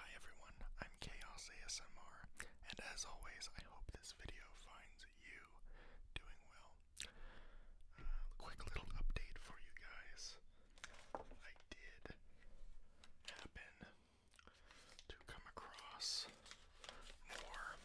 Hi everyone, I'm Chaos ASMR, and as always, I hope this video finds you doing well. Uh, quick little update for you guys. I did happen to come across more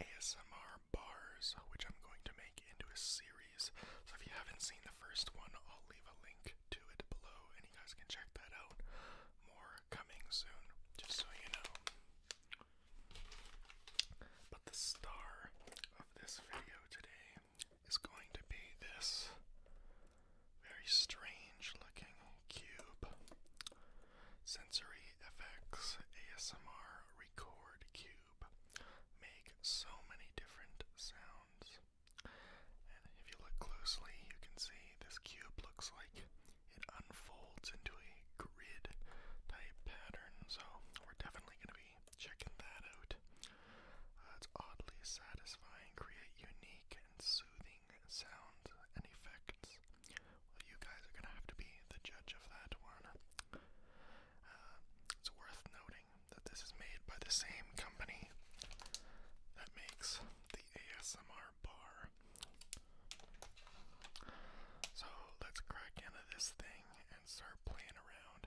ASMR bars, which I'm going to make into a series. So if you haven't seen the first one, I'll leave a link link it below, and you guys can check that out. More coming soon, just so you know. But the star of this video today is going to be this very strange looking cube. Sensory FX ASMR Record Cube. Make so many different sounds. And if you look closely, you can see this cube looks like it unfolds into a grid type pattern, so we're definitely going to be checking that out. Uh, it's oddly satisfying, create unique and soothing sounds and effects. Well, you guys are going to have to be the judge of that one. Uh, it's worth noting that this is made by the same company that makes the ASMR bar. So let's crack into this thing and start playing around.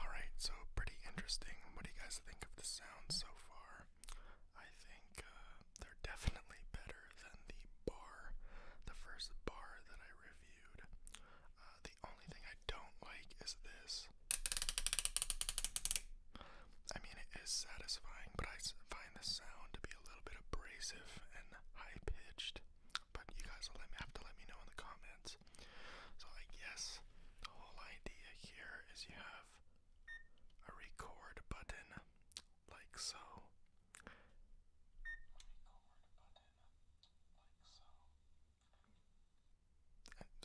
Alright, so pretty interesting. What do you guys think of the sound so far? I think uh, they're definitely better than the bar, the first bar that I reviewed. Uh, the only thing I don't like is this. I mean, it is satisfying, but I find the sound to be a little bit abrasive and high pitched. But you guys will have to let me know in the comments. So I guess the whole idea here is you have a record button, like so.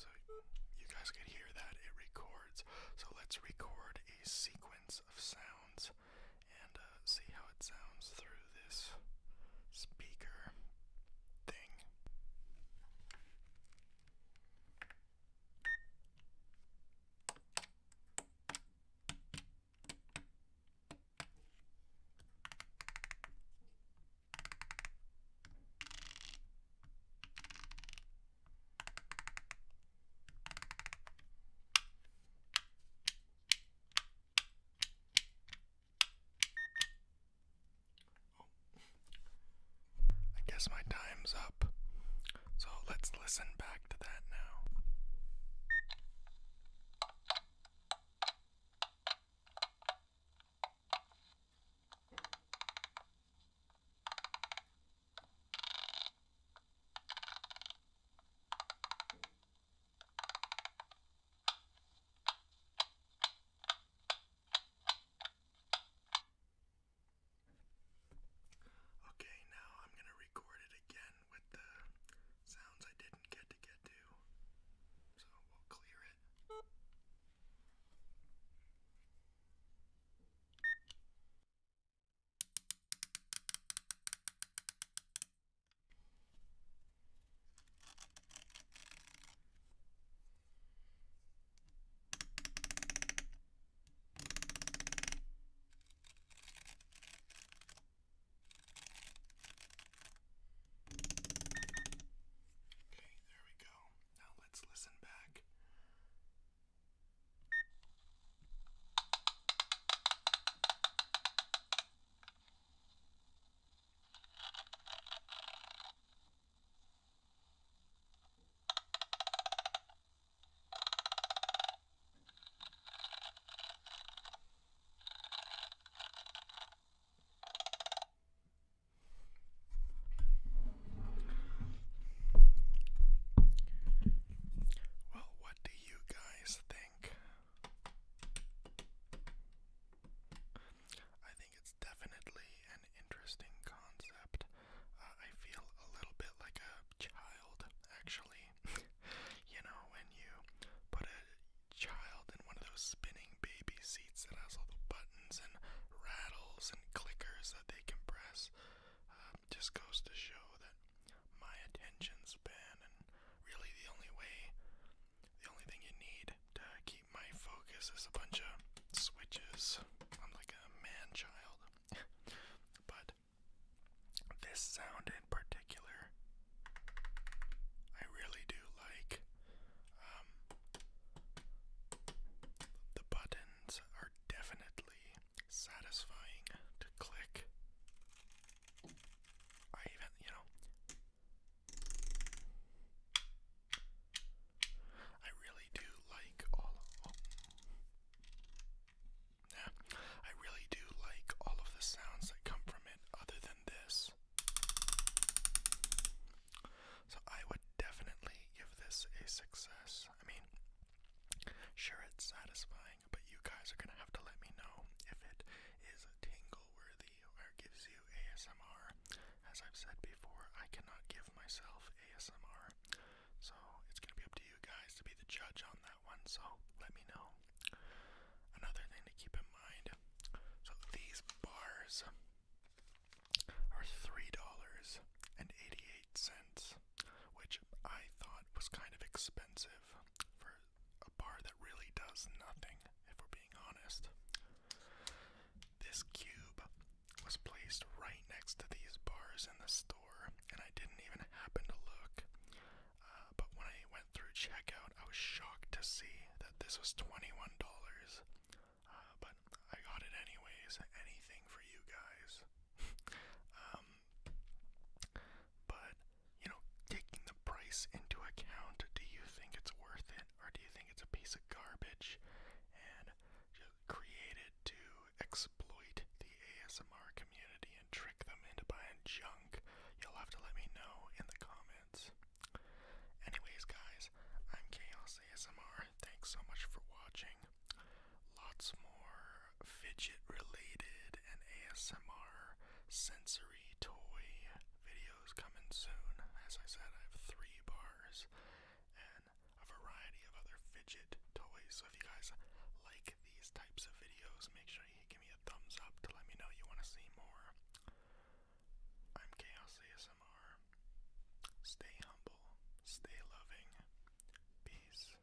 so you guys can hear that it records. So let's record a sequence of sounds and uh, see how it sounds through this speaker thing. I guess my time's up. So let's listen back to that now. Okay, now I'm going to record it again with the sounds I didn't get to get to. So we'll clear it. Okay, there we go. Now let's listen back. Well, what do you guys think? I think it's definitely an interesting concept. Uh, I feel a little bit like a child, actually. you know, when you put a child in one of those spinning baby seats that has all the buttons and rattles and clickers that they can press, uh, just goes to show that my attention span really the only way, the only thing you need to keep my focus is a bunch of switches. I'm like a man child. but this sound in particular, I really do like. Um, the buttons are definitely satisfying to click. I even, you know, I really do like all of, oh. I really do like all of the sounds that come from it other than this. So I would definitely give this a success. I mean, sure it's satisfying but you guys are gonna have to let me know if it is tingle worthy or gives you ASMR. As I've said before, I cannot give myself ASMR, so it's gonna be up to you guys to be the judge on that one. So let me know. Another thing to keep in mind so these bars are $3.88 which I thought was kind of expensive for a bar that really does nothing, if we're being honest. This cube was placed right next to these bars in the store, and I didn't even happen to look. Uh, but when I went through checkout, I was shocked to see that this was $21. Uh, but I got it anyways, anything for you guys. Um, but you know, taking the price into account, do you think it's worth it, or do you think it's a piece of garbage and created to exploit the ASMR community and trick them into buying junk? You'll have to let me know in the comments. Anyways, guys, I'm Chaos ASMR. Thanks so much for watching lots more fidget related and ASMR sensory toy videos coming soon. As I said, I have three bars and a variety of other fidget toys. So if you guys like these types of videos, make sure you give me a thumbs up to let me know you want to see more. I'm Chaos ASMR. Stay humble, stay loving. Peace.